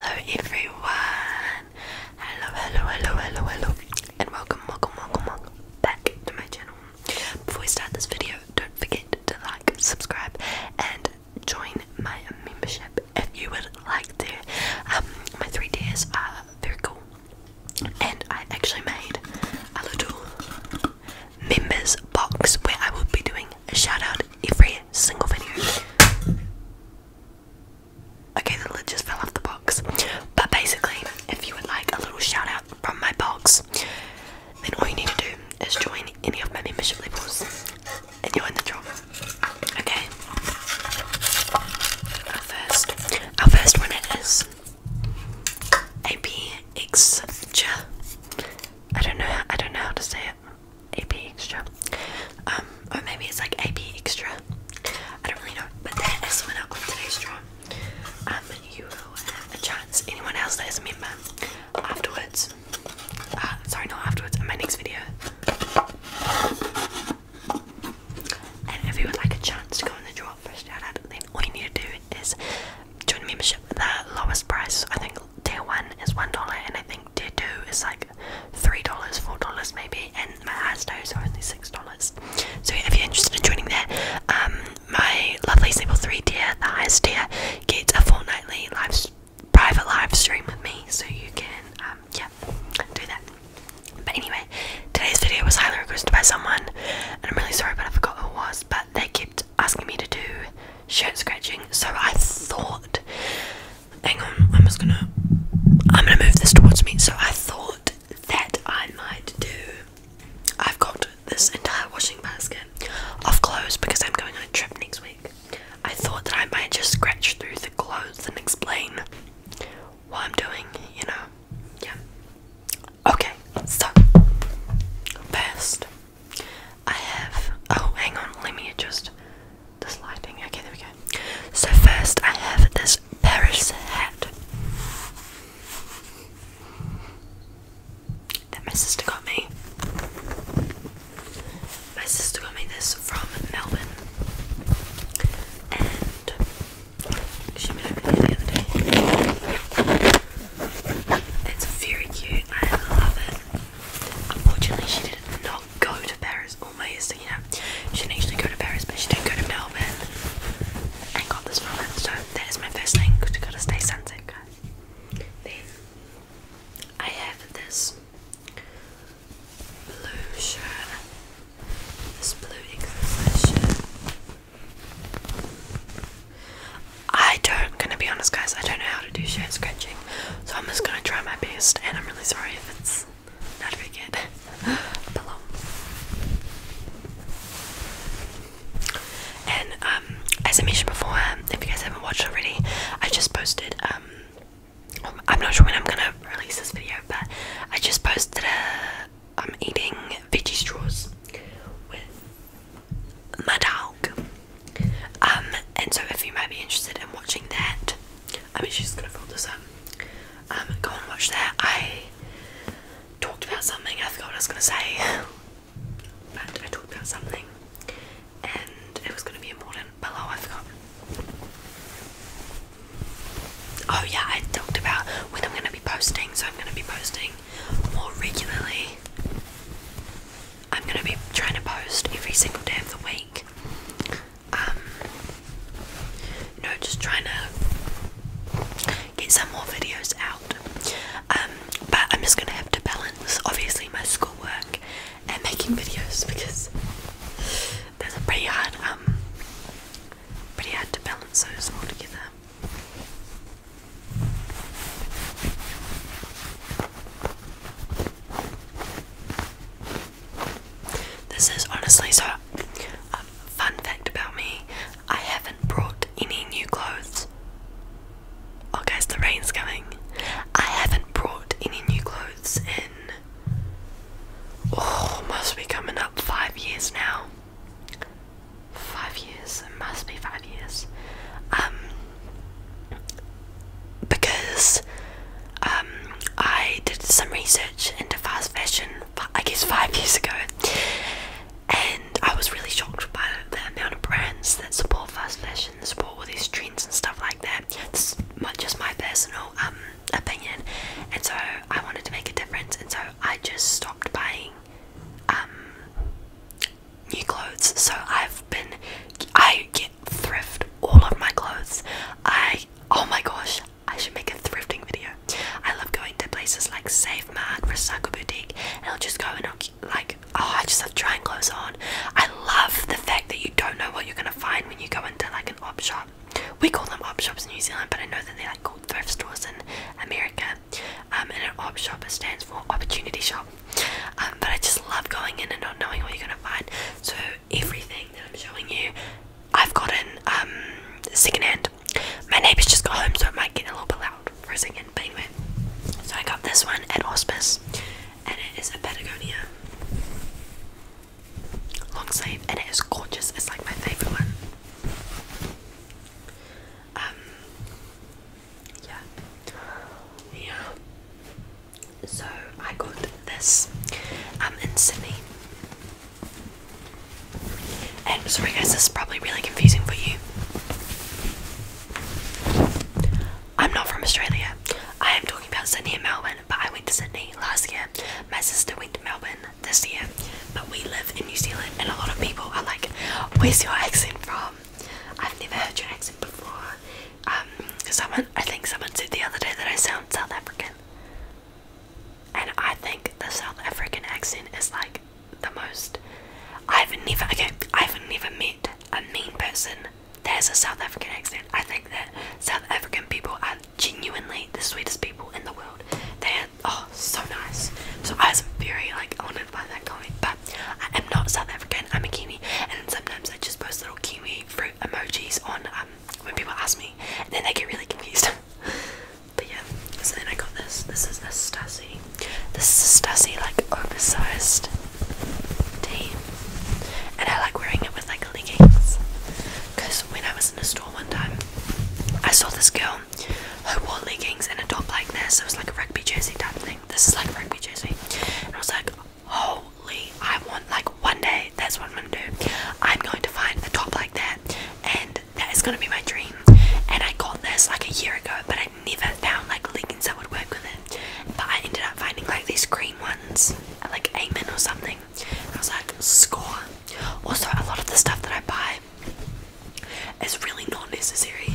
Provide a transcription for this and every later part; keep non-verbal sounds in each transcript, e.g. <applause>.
Hello everyone! Hello, hello, hello, hello, hello, and welcome, welcome, welcome, welcome back to my channel. Before we start this video, don't forget to like, subscribe, and join my membership if you would like to. Um, my three days are very cool, and I actually made a little members box where I will be doing a shout out every single video. Okay, the lid just fell off the box. But basically, if you would like a little shout out from my box, then all you need to do is join any of my membership levels and you're in the draw. Okay. Our first our first winner is APX don't know I don't know how to say it. AP Extra. Um, or maybe it's like AP Extra. I don't really know. But that is someone else on today's draw. Um, you will have a chance. Anyone else that is a member afterwards. Uh, sorry, not afterwards. In my next video. And if you would like a chance to go in the draw for shout out, all you need to do is join membership. The lowest price, I think, tier one is one dollar, and I think tier two is like three dollars, four dollars maybe, and my highest tiers are only six dollars. So if you're interested in joining there, um, my lovely level three tier, the highest tier, gets a fortnightly live private live stream with me, so you can um, yeah do that. But anyway, today's video was highly requested by someone, and I'm really sorry, but I forgot who it was. But they kept asking me to do shirt scratching, so I thought Hang on, I'm just gonna. I'm gonna move this towards me. So I thought that I might do. I've got this entire washing basket of clothes because I'm going on a trip next week. I thought that I might just scratch through the clothes and explain what I'm doing, you know. Yeah. Okay, so first I have. Oh, hang on, let me adjust this lighting. Okay, there we go. So, first, I have this Paris hat that my sister got me. My sister got me this from Melbourne, and she made it the other day. It's very cute. I love it. Unfortunately, she didn't know go to Paris almost, you know. She didn't actually go to Paris, but she did go to Melbourne and got this from it. So that is my first thing, because you gotta stay sunset, guys. Then I have this blue shirt. This blue exercise I don't, gonna be honest, guys, I don't know how to do shirt scratching. So I'm just gonna try my best, and I'm really sorry if it's not very good. <laughs> Below. And um, as I mentioned before, if you guys haven't watched already, I just posted. Um, I'm not sure when I'm gonna release this video, but I just posted a. I'm eating veggie straws with my dog. Um, and so if you might be interested in watching that, I mean, she's gonna fold this up. Um, go and watch that. I talked about something. I forgot what I was gonna say, but I talked about something, and it was gonna be important. But oh, I forgot. Oh yeah, I talked about when I'm gonna be posting. So I'm gonna be posting more regularly. I'm gonna be trying to post every single day of the week. Um, no just trying to get some more videos out um, but I'm just gonna have to balance obviously my schoolwork and making videos because that's a pretty hard um, pretty hard to balance those all together this is honestly so. Um, fun fact about me I haven't brought any new clothes. Oh, guys, the rain's coming. I haven't brought any new clothes in. Oh, must be coming up five years now. Five years. It must be five years. Um, because um, I did some research into fast fashion, I guess five <laughs> years ago, and I was really shocked by the amount of brands that support fast fashion, support all these trends and stuff like that. It's just my personal um, opinion, and so I wanted to make a difference, and so I just stopped buying um, new clothes. So I've been, I get thrift all of my clothes. I, oh my gosh, I should make a thrifting video. I love going to places like Save Mart, Recycle Boutique, and I'll just go and I'll, like, oh, I just love trying clothes on. I love the fact that you don't know what you're gonna find when you go into like an op shop. We call them op shops in New Zealand, but I know that they're like called thrift stores in America. Um, and an op shop stands for opportunity shop. Um, but I just love going in and not knowing what you're gonna find. So everything that I'm showing you, I've gotten um, secondhand. My neighbours just got home, so it might get a little bit loud for a second. But anyway, so I got this one at Hospice, and it is a Patagonia long sleeve, and it is gorgeous. It's like my favourite one. Um, yeah, yeah. So I got this um, in Sydney. And sorry guys, this is probably really confusing for you. I'm not from Australia. I am talking about Sydney and Melbourne, but I went to Sydney last year. My sister went to Melbourne this year, but we live in New Zealand, and a lot of people are like, Where's your accent from? I've never heard your accent before. Um, someone I think someone said the other day that I sound South African. And I think the South African accent is like the most I've never okay, I've never met a mean person There's a South African accent. I think that South African people are genuinely the sweetest people in the world. They are oh so nice. So I was very like I honored by that comment. But I am not South African, I'm a Kiwi, and sometimes I just post little Kiwi fruit emojis on um, when people ask me, and then they get really confused. <laughs> but yeah, so then I got this. This is a Stussy. This is a Stussy, like oversized tee, and I like wearing it with like leggings. Because when I was in a store one time, I saw this girl who wore leggings and a top like this. It was like a rugby jersey type thing. This is like a rugby jersey, and I was like, holy I want like one day that's what I'm gonna do I'm going to find a top like that and that is gonna be my dream and I got this like a year ago but I never found like leggings that would work with it but I ended up finding like these green ones like Amen or something I was like score also a lot of the stuff that I buy is really not necessary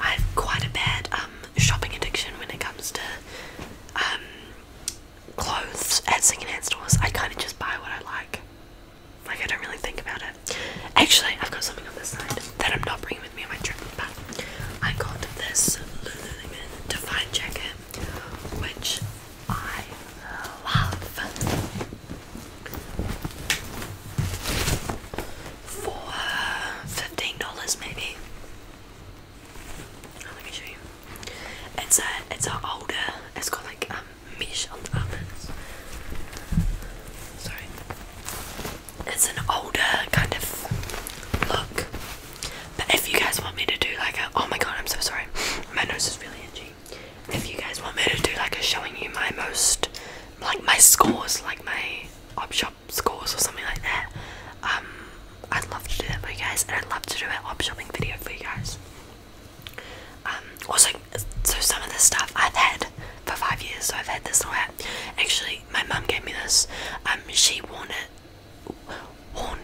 I've quite a bad um, shopping addiction when it comes to um, clothes at secondhand stores. I kind of just buy what I like. Like I don't really think about it. Actually, I've got something on this side that I'm not bringing with me on my trip, but I got this Lululemon Define jacket, which I love for $15 maybe. Oh, let me show you. It's a it's an older. It's got like um mesh Sorry. It's an older kind of look. But if you guys want me to do like a oh my god, I'm so sorry. My nose is really itchy. If you guys want me to do like a showing you my most like my scores, like my options job scores or something like that. Um, I'd love to do that for you guys, and I'd love to do an op shopping video for you guys. Um, also, so some of this stuff I've had for five years, so I've had this little hat. Actually, my mum gave me this. Um, she worn it. Worn.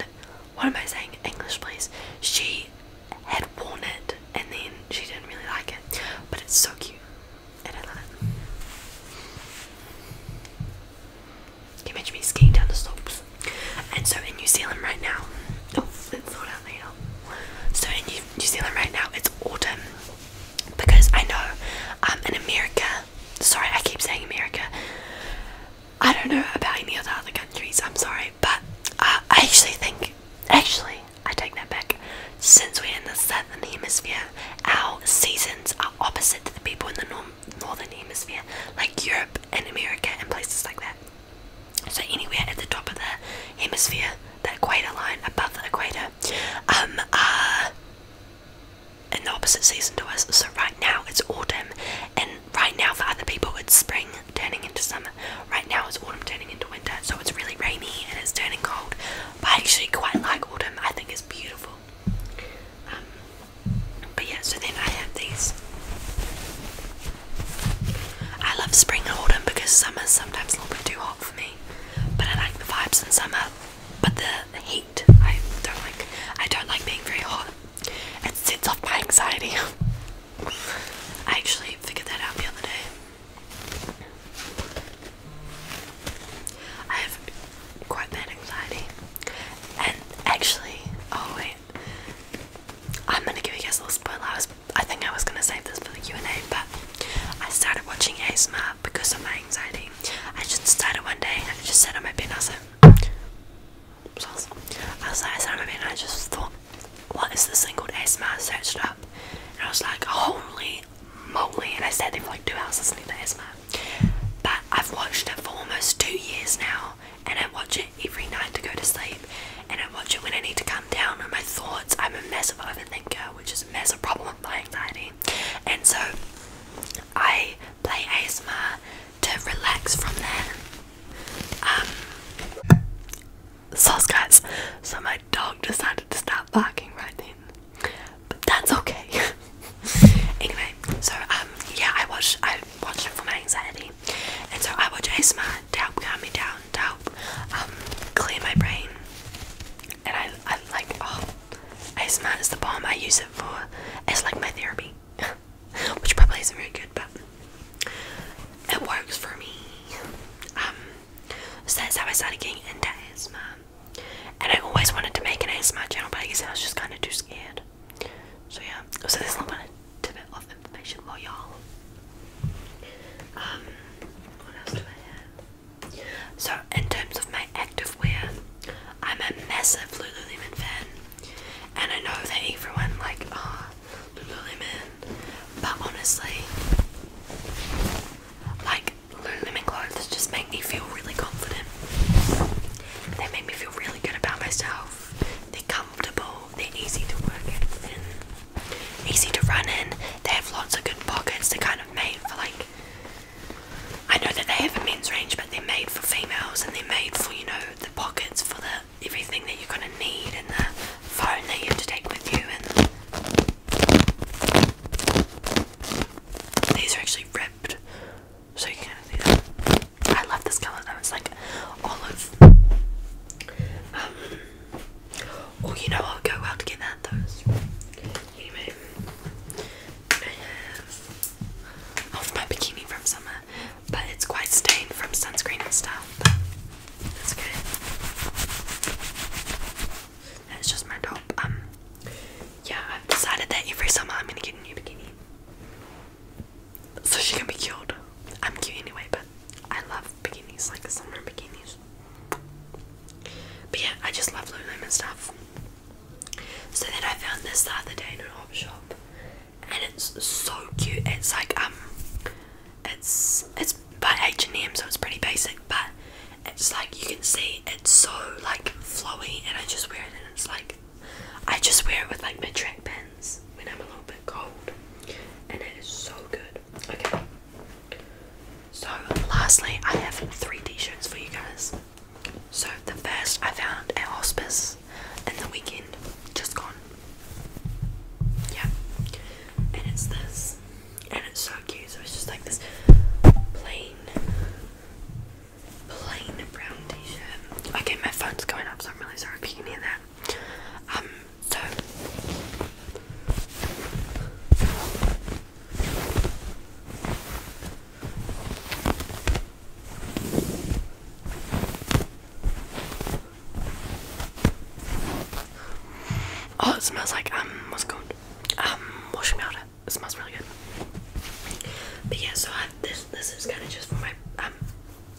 What am I saying? English, please. She had worn it, and then she didn't really like it, but it's so cute. Can you imagine me skiing down the slopes? And so in New Zealand right now, oh, it's not out So in New, Zealand right now, it's autumn because I know I'm um, in America, sorry, I keep saying America. I don't know about any of other countries. I'm sorry, but uh, I actually think, actually, I take that back. Since we're in the sun, that the hemisphere, our seasons are opposite to the people in the northern hemisphere, like Europe and America and places like that. So anywhere at the top of the hemisphere, the equator line above the equator, um, are in the opposite season to us. So right now it's autumn, and right now for other people it's spring turning into summer. Right now it's autumn turning into winter, so it's really rainy and it's turning cold. But I actually quite like autumn oh, I think is beautiful um, but yeah so then I have these I love spring and autumn because summer's sometimes a little bit too hot for me but I like the vibes in summer but the heat I don't like I don't like being very hot it sets off my anxiety <laughs> I actually figured that out the other day I have quite bad anxiety. And actually, oh wait, I'm gonna give you guys a little spoiler. I was, I think I was gonna save this for the Q and A, but I started watching ASMR because of my anxiety. I just started one day and I just sat on my bed and I was I was like, I sat on my bed and I just thought, what is this thing called ASMR? Set it up and I was like, holy holy And I sat there for like two hours listening to Asma, But I've watched it for almost two years now. And I watch it every night to go to sleep. And I watch it when I need to calm down on my thoughts. I'm a massive overthinker, which is a massive problem with my anxiety. And so I play Asma to relax from there. Um, sauce guys. So dog decided to stop barking right then. But that's okay. <laughs> anyway, so um yeah, I watch I watch it for my anxiety. And so I watch ASMR to help calm me down, to help um clear my brain. And I I like oh ASMR is the bomb I use it for it's like my therapy. <laughs> Which probably isn't very good but it works for me. Um so that's how I started getting into ASMR. And I always wanted to make an ASMR channel, but I guess I was just kind of too scared. So yeah, so there's a little bit of, information for y'all. Um, so in terms of my active wear, I'm a massive Lululemon fan, and I know that everyone like ah oh, Lululemon, but honestly, like Lululemon clothes just make me feel really confident. They make me feel really good about myself. They're comfortable, they're easy to work easy to run in. They have lots of good pockets. They're kind of made for like I know that they have a men's range, but they're made for females and they're made for you know the pockets for the everything that you're gonna need and the phone that you have to take with you and these are actually ripped, so you can not see that. I love this color though, it's like olive. Um, oh, you know I'll go well together, those. Anyway, I have my bikini from summer, but it's quite stained from sunscreen and stuff. that's okay. That's just my top. Um, yeah, I've decided that every summer I'm gonna get a new bikini, so she can be cute. I'm cute anyway, but I love bikinis, like summer bikinis. But yeah, I just love Lululemon stuff. So then I found this the other day in an op shop, and it's so cute. It's like um, it's it's but H&M so it's pretty basic but it's like you can see it's so like flowy and I just wear it and it's like I just wear it with like my track pants when I'm a little bit cold and it is so good. Okay. So lastly I have three t-shirts for you guys. So the first I found at hospice and the weekend just gone. Yeah. And it's this and it's so cute. So it's just like this plain, plain brown t-shirt. Okay, my phone's going up, so I'm really sorry if you can hear that. Um, so Oh, it smells like um, what's it called? um wash out it smells really good but yeah so this this is kind of just for my um,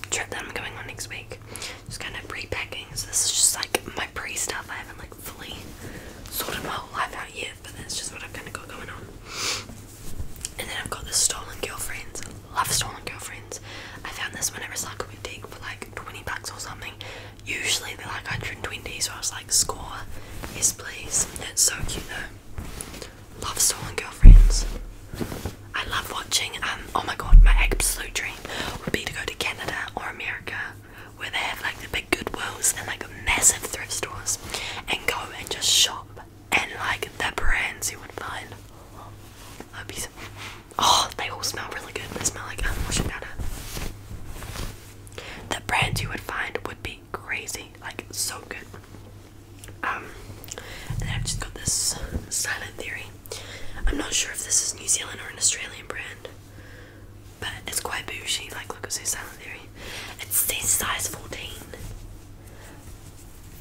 trip that I'm going on next week just kind of pre so this is just like my pre stuff I haven't like fully sorted my whole life out yet but that's just what I've kind of got going on and then I've got the stolen girlfriends love stolen girlfriends I found this when one at Recycle dig for like 20 bucks or something Usually they're like 120, so I was like, score, yes please. It's so cute though. Love stolen girlfriends. I love watching. Um, oh my god, my absolute dream would be to go to Canada or America, where they have like the big Goodwills and like massive thrift stores, and go and just shop and like the brands you would find. That'd be oh, they all smell really good. They smell like um, the brands you would find would be crazy, like so good. Um, and I've just got this Silent Theory. I'm not sure if this is New Zealand or an Australian brand, but it's quite bougie. Like, look at this Silent Theory. It's this size 14,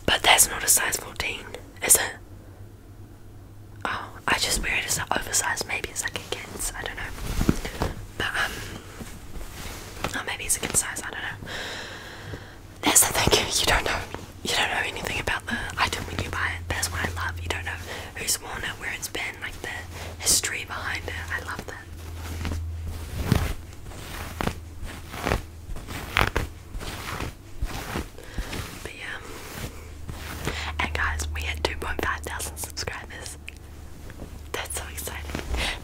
but that's not a size 14, is it? Oh, I just wear it as an oversized. Maybe it's like a kid's. I don't know. But um, oh, maybe it's a good size. I don't know. That's the thing. You don't know. You don't know anything about the item when you buy it. That's what I love. You don't know who's worn it, where it's been, like the history behind it. I love that. And guys, we had 2.5 thousand subscribers. That's so exciting.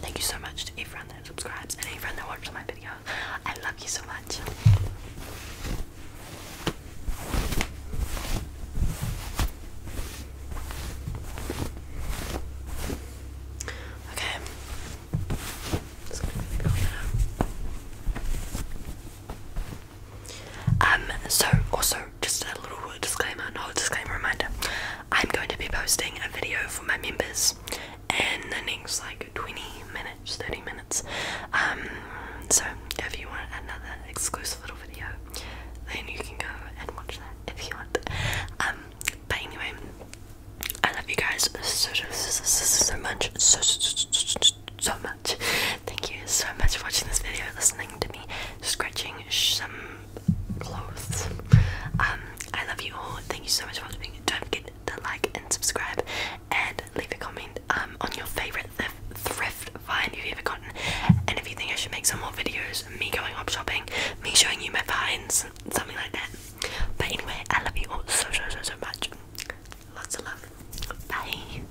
Thank you so much to everyone that subscribes and everyone that watches my video. I love you so much. Okay. Um, so also just a little disclaimer, not a disclaimer reminder. I'm going to be posting a video for my members and the next like 20 minutes, 30 minutes. Um, so if you want another exclusive little video, then you can go and watch that if you want. Um, but anyway, I love you guys so much so much. Thank you so much for watching this video, listening to me scratching some clothes. Um, I love you all. Thank you so much for watching. Don't forget to like and subscribe, and leave a comment um on your favorite thrift find you've ever gotten. And if you think I should make some more videos, me going up shopping, me showing you my finds, something like that. But anyway, I love you all so so so so much. Lots of love. Bye.